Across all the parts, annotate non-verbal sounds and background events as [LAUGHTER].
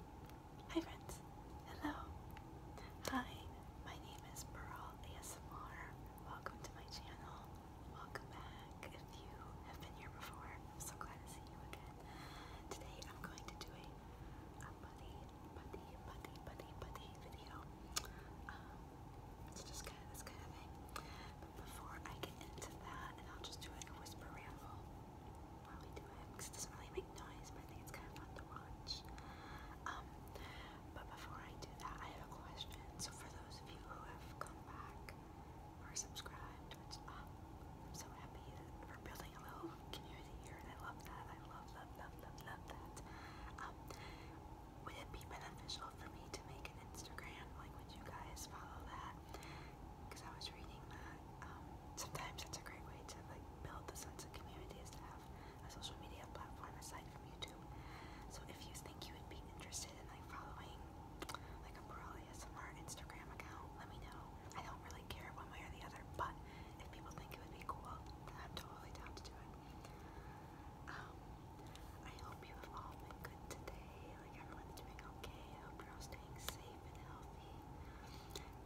Hi friends, hello. Hi, my name is Pearl ASMR. Welcome to my channel. Welcome back. If you have been here before, I'm so glad to see you again. Today I'm going to do a, buddy, buddy, buddy, buddy, buddy video. Um, it's just kind of this kind of thing. But before I get into that, and I'll just do a whisper ramble probably do it because it doesn't really make noise, but I think it's kind of fun to watch. Um, but before I do that, I have a question. So for those of you who have come back or subscribed, which uh, I'm so happy that we're building a little community here, and I love that. I love, love, love, love, love that. Um, would it be beneficial for me to make an Instagram? Like, would you guys follow that? Because I was reading that um, sometimes that's a great way to like build the sense of community is to have a social media platform aside from YouTube. So if you think you would be interested in like following like a Pearl ASMR Instagram account, let me know. I don't really care one way or the other, but if people think it would be cool, I'm totally down to do it. Um, I hope you have all been good today. Like everyone's doing okay. I staying safe and healthy.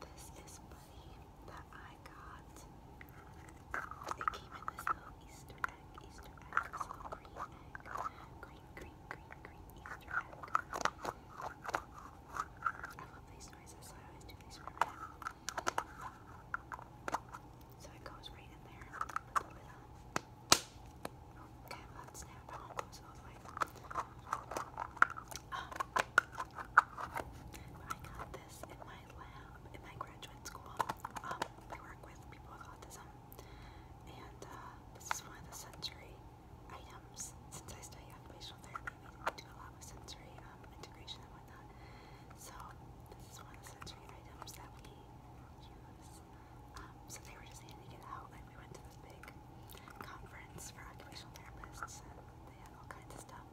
This is buddy that I got. It came in this little Easter egg, Easter egg, green egg, green, green, green, green Easter egg. I love these noises, I always do these for my So it goes right in there. Put the lid Okay, let's snap on so um, I got this in my lab, in my graduate school. Um, work with people with autism, and uh, this is one of the sensory items. Since I study occupational therapy, we do a lot with sensory um, integration and whatnot. So this is one of the sensory items that we use. Um, so they were just handing it out. Like we went to this big conference for occupational therapists, they had all kinds of stuff.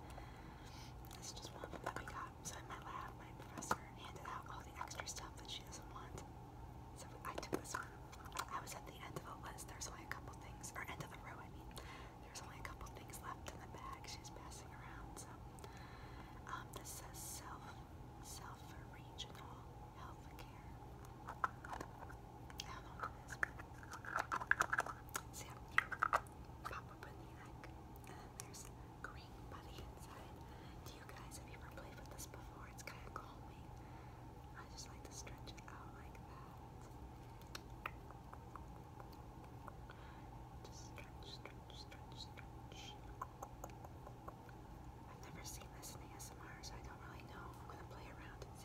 This is just one of them that we got. So in my lab, my professor handed out all the extra stuff that she doesn't want. So I took this one. I was at the end of a list. There's only a couple things, or end of the row, I mean. There's only a couple things left in the bag she's passing around. So um, this says self, self-regional health care how long it is. So you and then uh, there's green putty inside. Do you guys have ever played with this before? It's kind of calming. I just like to stretch out like that. stretch, stretch, stretch, stretch. I've never seen this in ASMR, so I don't really know. I'm gonna play around and see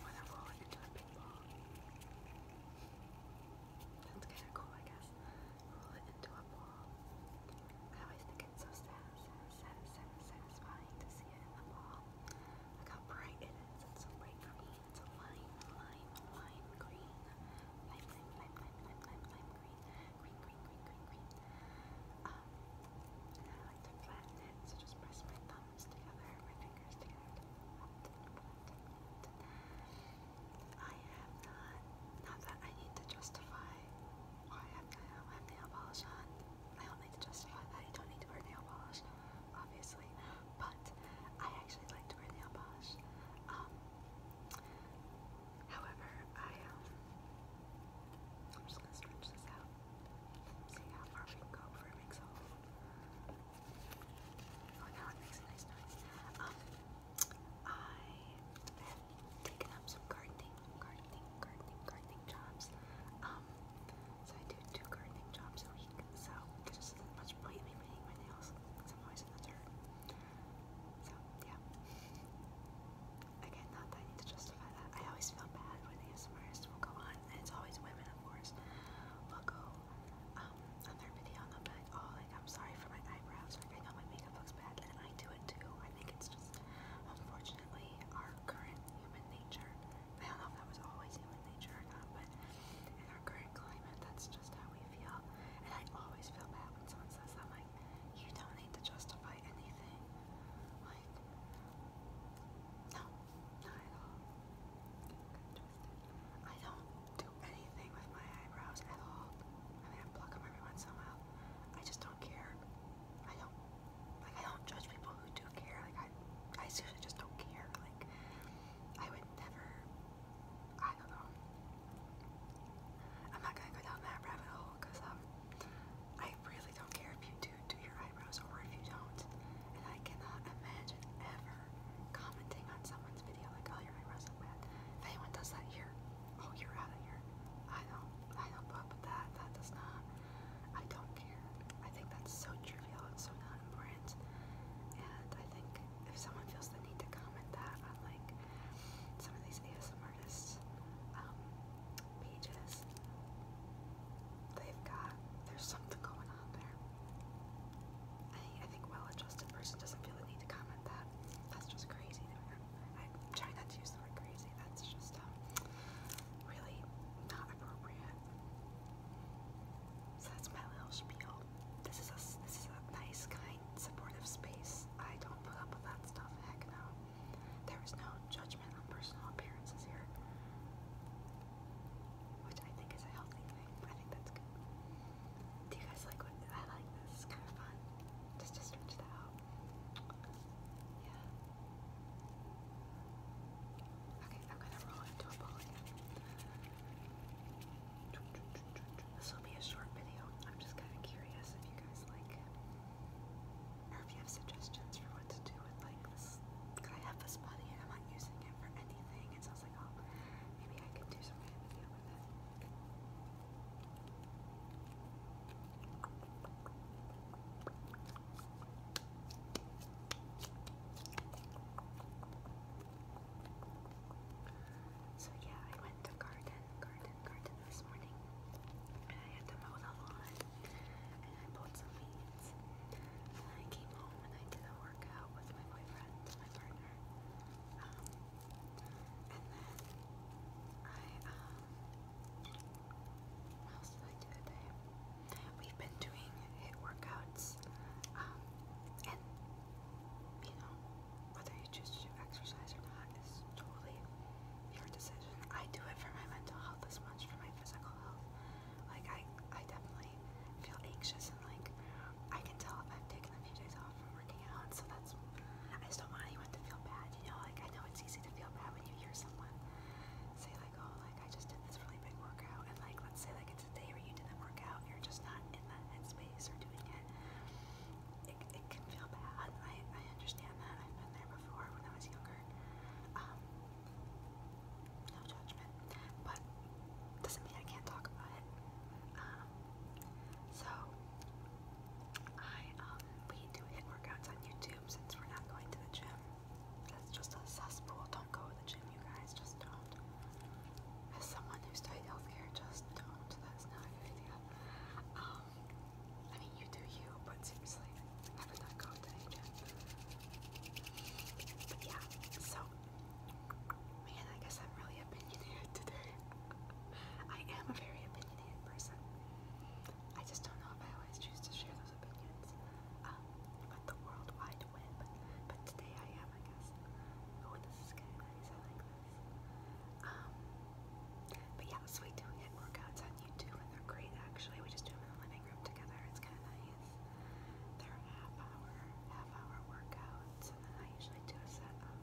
when I roll it cool, I guess. Roll it into a ball. I always think it's so satisfying to see it in the ball. Look how bright it is. It's so bright green. It's a lime, lime, lime green. Lime, lime, lime, lime, lime, lime, green. Green, green, green, green, green. and I like to flatten it, so just press my thumb. I have not, not that I need to justify why I have nail polish on. I don't need to justify that. I don't need to wear nail polish, obviously. But I actually like to wear nail polish. Um, however, I, um, I'm just gonna stretch this out. See how far we can go for a big Oh, now it makes a nice noise. Um, I have taken up some gardening, gardening, gardening, gardening jobs. Um, so I do two gardening jobs a week. So there's just as much point me painting my nails because always in the dirt. So yeah. Again, not that I need to justify that. I always feel bad when the ASMRists will go on and it's always women, of course, will go um, on their video oh, like, I'm sorry for my eyebrows, like, I know my makeup looks bad, and I do it too. I think it's just, unfortunately, our current human nature. I don't know if that was always human nature or not, but in our current climate, that's just how we feel. And I always feel bad when someone says that, like, you don't need to justify anything. Like, no, not at all. I don't do anything with my eyebrows at all. I mean, pluck them every once in a while. I just don't care. I don't like. I don't judge people who do care. Like I, I seriously just don't care. Like I would never. I don't know. I'm not gonna go down that rabbit hole because um, I really don't care if you do do to your eyebrows or if you don't. And I cannot imagine ever commenting on someone's video like, oh, your eyebrows look bad. If anyone does that here, oh, you're out of here. I don't, I don't put up with that. That does not, I don't care. I think that's so trivial and so not important. And I think if someone feels the need to comment that on like some of these ASM artists, um, pages, they've got there's something going on there. I, think well-adjusted person doesn't feel the need to comment that. That's just crazy. I try not to use the word crazy. That's just um, really not appropriate. So that's my little spiel. This is a this is a nice, kind, supportive space. I don't put up with that stuff. Heck no. There is no judgment on personal appearances here which I think is a healthy thing. I think that's good. Do you guys like I like? This is kind of fun. Just to stretch out. Yeah. Okay, I'm gonna roll into a ball again. This will be a short video. I'm just kind of curious if you guys like it, or if you have suggestions for what to do with like this I have this money? And I'm not using it for anything. so I was like, oh, maybe I could do some with it. yeah, I went to garden, garden, garden this morning, and I had to mow the lawn, I pulled some weeds. I came home and I did a workout with my boyfriend, my partner. Um, and then I, um, what else did I do today? We've been doing hit workouts, um, and you know, whether you choose to do exercise or not is totally your decision. I do it for my mental health as much for my physical health. Like I, I definitely feel anxious and like I can tell if I've taken a few days off from working out. So that's I just don't want anyone to feel bad. You know, like I know it's easy to feel bad when you hear someone say like, oh, like I just did this really big workout, and like let's say like it's a day where you didn't work out, you're just not in that headspace or doing it. It, it can feel bad. I, I understand that. I've been there before when I was younger. Um, no judgment. But doesn't mean I can't talk about it. Um, so I um, we do hit workouts on YouTube since we're not going to the gym. That's just a cesspool. Don't go to the gym, you guys. Just don't. As someone who studied healthcare, just don't. That's not a idea. Um, I mean, you do you, but seriously, yeah, so man, I guess I'm really opinionated today. I am a very opinionated person. I just don't know if I always choose to share those opinions. but um, the World Wide Web. But today I am, I guess. Oh, this is kind of nice. I like this. Um, but yeah, so we do hit workouts on YouTube, and they're great actually. We just do them in the living room together. It's kind of nice. They're half hour, half hour workouts, and then I usually do a set of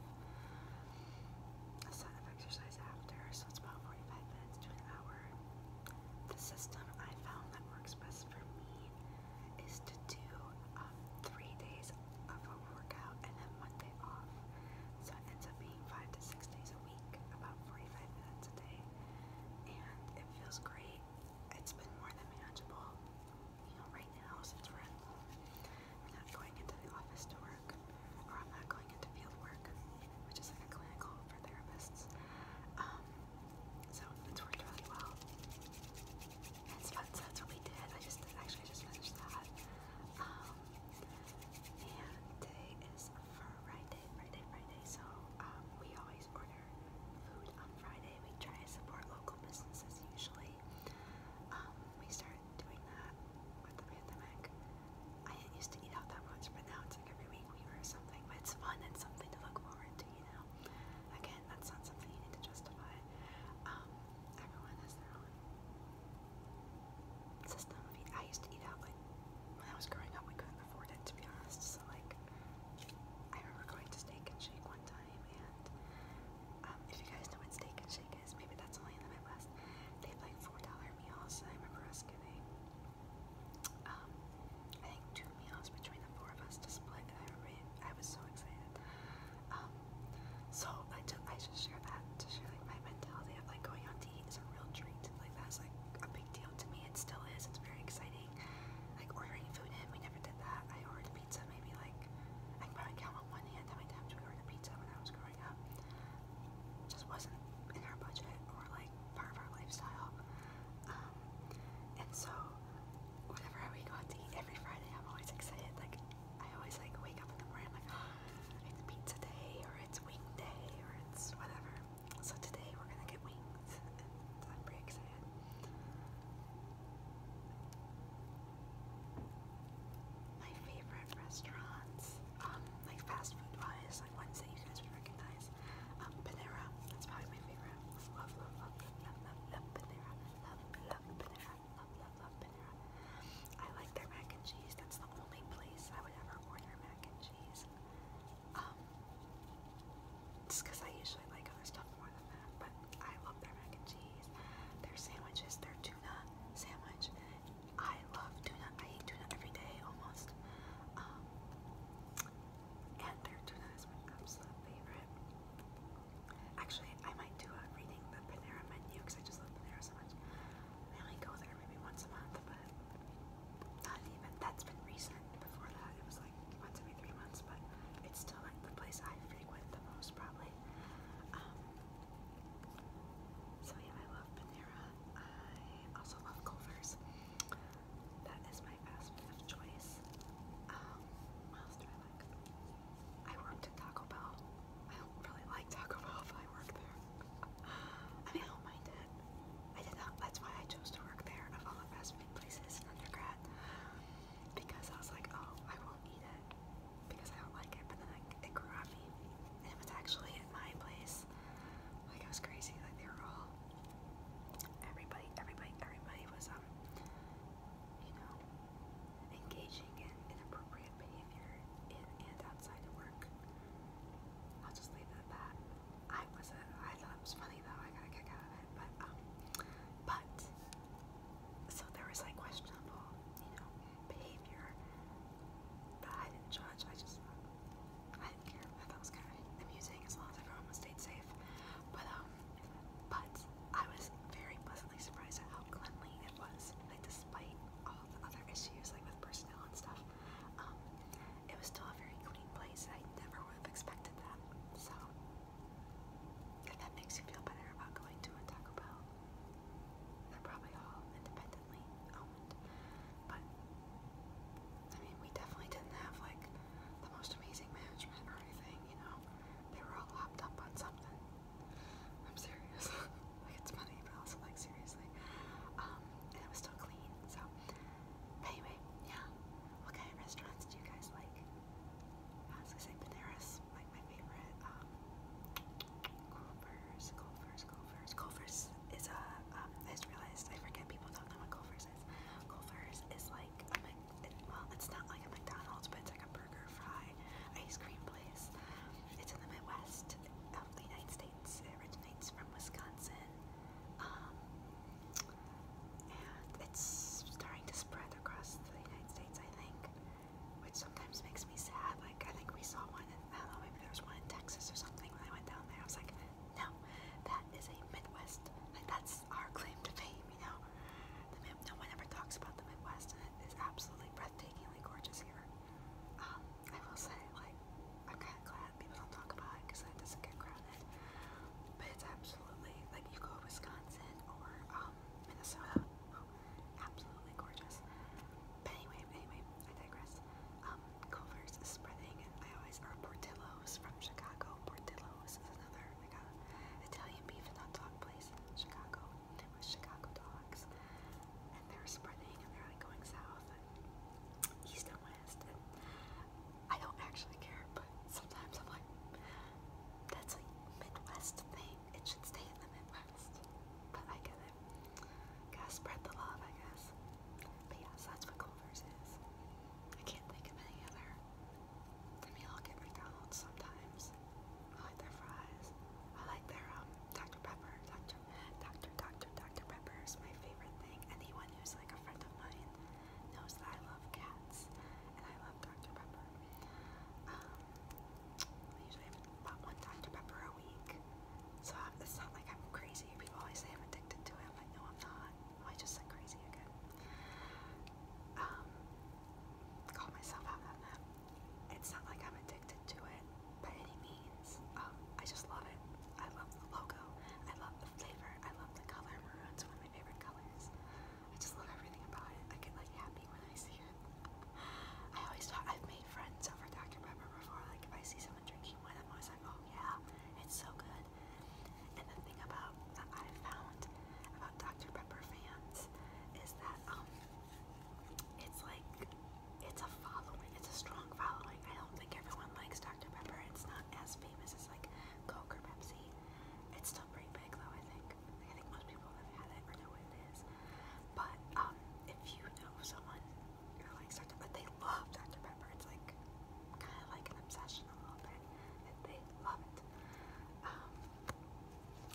a set of exercise after, so it's about 45 minutes to an hour. The system I found that works best for me is to do um, three days of a workout and then one day off. So it ends up being five to six days a week, about 45 minutes a day. And it feels great it's been more than manageable. You know, right now, since we're not going into the office to work, or I'm not going into field work, which is like a clinical for therapists. Um, so it's worked really well. it's fun, that's what we did. I just actually just finished that. Um, and today is Friday, Friday, Friday. So um, we always order food on Friday. We try to support local businesses usually. Um, we started doing that with the pandemic. I didn't used to eat out that much, but now it's like every week we order something. But it's fun and something to look forward to, you know. Again, that's not something you need to justify. Um, everyone has their own system. I used to eat out like when I was growing up. We couldn't to be honest. So like, I remember going to Steak and Shake one time, and um, if you guys know what Steak and Shake is, maybe that's only in the Midwest. They have like four dollar meals, I remember us giving, um, I think two meals between the four of us to split. I was so excited. Um, so I just I just share that to share like my mentality of like going on to eat is a real treat. Like that's like a big deal to me. It still is. It's very exciting dining, like ordering food in. We never did that. I ordered pizza maybe like, I can probably count on one hand how many times we ordered pizza when I was growing up. Just wasn't in our budget or like part of our lifestyle. Um, and so, whenever we go out to eat every Friday, I'm always excited. Like, I always like wake up in the morning, I'm like, oh, [GASPS] it's pizza day or it's wing day or it's whatever. So today we're gonna get wings, and I'm pretty excited. My favorite restaurants, um, like fast food wise, like ones that you guys would recognize, um, Panera. That's probably my favorite. love, love, love, love, love Panera. Love, love Panera. Love, love, love Panera. I like their mac and cheese. That's the only place I would ever order mac and cheese. Um, because I usually like other stuff more than that, but I love their mac and cheese, their sandwiches, their tuna sandwich. I love tuna. I eat tuna every day almost. Um, and their tuna is my favorite. Actually, I might do a reading the Panera menu because I just love Panera so much. I only go there maybe once a month, but not even. That's been recent. Before that, it was once every three months, but it's still like the place I frequent the most, probably. Um, so yeah, I love Panera. I also love Culver's. That is my fast food of choice. Um, what else do I like? I worked at Taco Bell. I don't really like Taco Bell, but I work there. I mean, I don't mind it. I did not. That's why I chose to work there of all the fast food places in undergrad. Because I was like, oh, I won't eat it because I don't like it. But then I, it grew on me, and it was actually at my place. Like it was crazy. Like they were all everybody, everybody, everybody was um, you know, engaging in inappropriate behavior in and outside of work. I'll just leave it at that. I wasn't. I thought it was funny though. I got a kick out of it. But um, but so there was like questionable, you know, behavior But I didn't judge. I just um, I didn't care. I thought it was kind of amusing as long as everyone was stayed safe. But um, but I was very pleasantly surprised at how cleanly it was. Like despite all the other issues like with personnel and stuff. Um, it was still a very clean place. I never would have expected that. So, if that makes you feel better about going to a Taco Bell, they're probably all independently owned. But, I mean, we definitely didn't have like the most amazing management or anything, you know? They were all hopped up on something. I'm serious. [LAUGHS] like, it's money, but also, like, seriously. Um, and it was still clean, so Anyway, yeah. What kind of restaurants do you guys like? I was gonna say Panera's my favorite. Um, Culver's, Culver's, Culver's. is a, uh, um, just realized, I forget people don't know what Culver's is. Culver's is like, a, well, it's not like a McDonald's, but it's like a burger, fry, ice cream place. It's in the Midwest of um, the United States. It originates from Wisconsin. Um, and it's starting to spread across the United States, I think, which sometimes makes me sad. Like, I think we saw one in, I don't know, maybe there was one in Texas or something when I went down there. I was like, no, that is a Midwest, like, that's our claim to fame, you know? The, no one ever talks about the Midwest, and it is absolutely breathtakingly gorgeous here. Um, I will say, like, I'm kind of glad that. People don't talk about it because it doesn't get crowded. But it's absolutely like you go to Wisconsin or um, Minnesota. Oh, absolutely gorgeous. But anyway, anyway, I digress. Um, Culver's is spreading, and I always are Portillo's from Chicago. Portillo's is another like a uh, Italian beef and hot dog place in Chicago with Chicago dogs, and they're spreading and they're like going south and east and west honest. And I don't actually care, but sometimes I'm like, that's a Midwest thing. It should stay in the Midwest. But I get it. Gotta spread the love, I guess. But yeah, so that's what Culver's is. I can't think of any other. I mean, I'll get McDonald's sometimes. I like their fries. I like their um, Dr. Pepper. Dr. Dr. Dr. Dr. Pepper is my favorite thing. Anyone who's like a friend of mine knows that I love cats and I love Dr. Pepper. Um, I usually have about one Dr. Pepper a week, so I'm, it's not like I'm crazy. People always say I'm addicted to it. I'm like, no, I'm not. Oh, I just said crazy again. Um, call myself out on that. It's not like I'm addicted to it by any means. Um, I just love it. I love the logo. I love the flavor. I love the color maroon's my favorite colors. I just love everything about it. I get like happy when I see it. I always talk, I've made friends over Dr. Pepper before. Like if I see someone drinking one, I'm always like, oh yeah, it's so good. And the thing about that i found about Dr. Pepper fans is that um, it's like it's a following. It's a strong following. I don't think everyone likes Dr. Pepper. It's not as famous as like Coke or Pepsi. It's still pretty big though, I think. Like, I think most people have had it or know what it is. But um, if you know someone who likes Dr. Pepper, they love Dr. Pepper. It's like kind of like an obsession a little bit. And they love it. Um,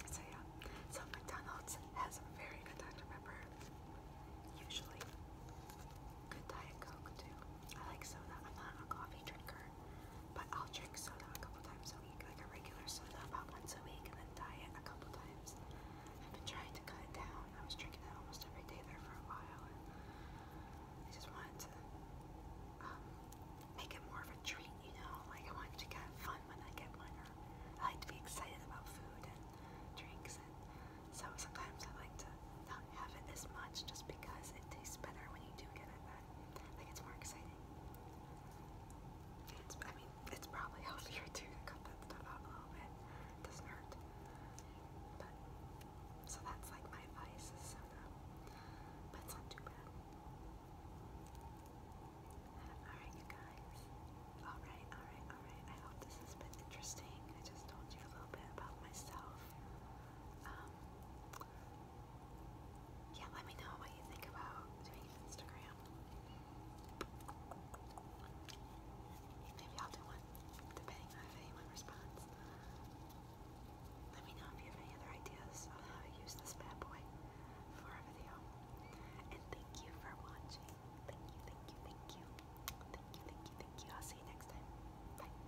so yeah. So McDonald's has a very good Dr. Pepper. Usually. Good Diet Coke too. I like soda. I'm not a coffee drinker, but I'll drink soda a couple times a week, like a regular soda about once a week, and then diet a couple times. I've been trying to cut it down. I was drinking it almost every day there for a while, and I just wanted to um, make it more of a treat, you know? Like, I wanted to have fun when I get mine, or I like to be excited about food and drinks, and so sometimes I like to not have it as much just because it tastes better when you do get it. But I it's more exciting. It's, I mean, it's probably [LAUGHS] healthier too to cut that stuff out a little bit. It doesn't hurt. But, so that's like my advice is soda. But not too bad. Alright, you guys. Alright, alright, alright. I hope this has been interesting. I just told you a little bit about myself. Um, yeah, let me know what you think about doing Instagram. Maybe I'll do one, depending if anyone responds. Let me know if you have any other ideas on how to use this bad boy for a video. And thank you for watching. Thank you, thank you, thank you. Thank you, thank you, thank you. I'll see you next time.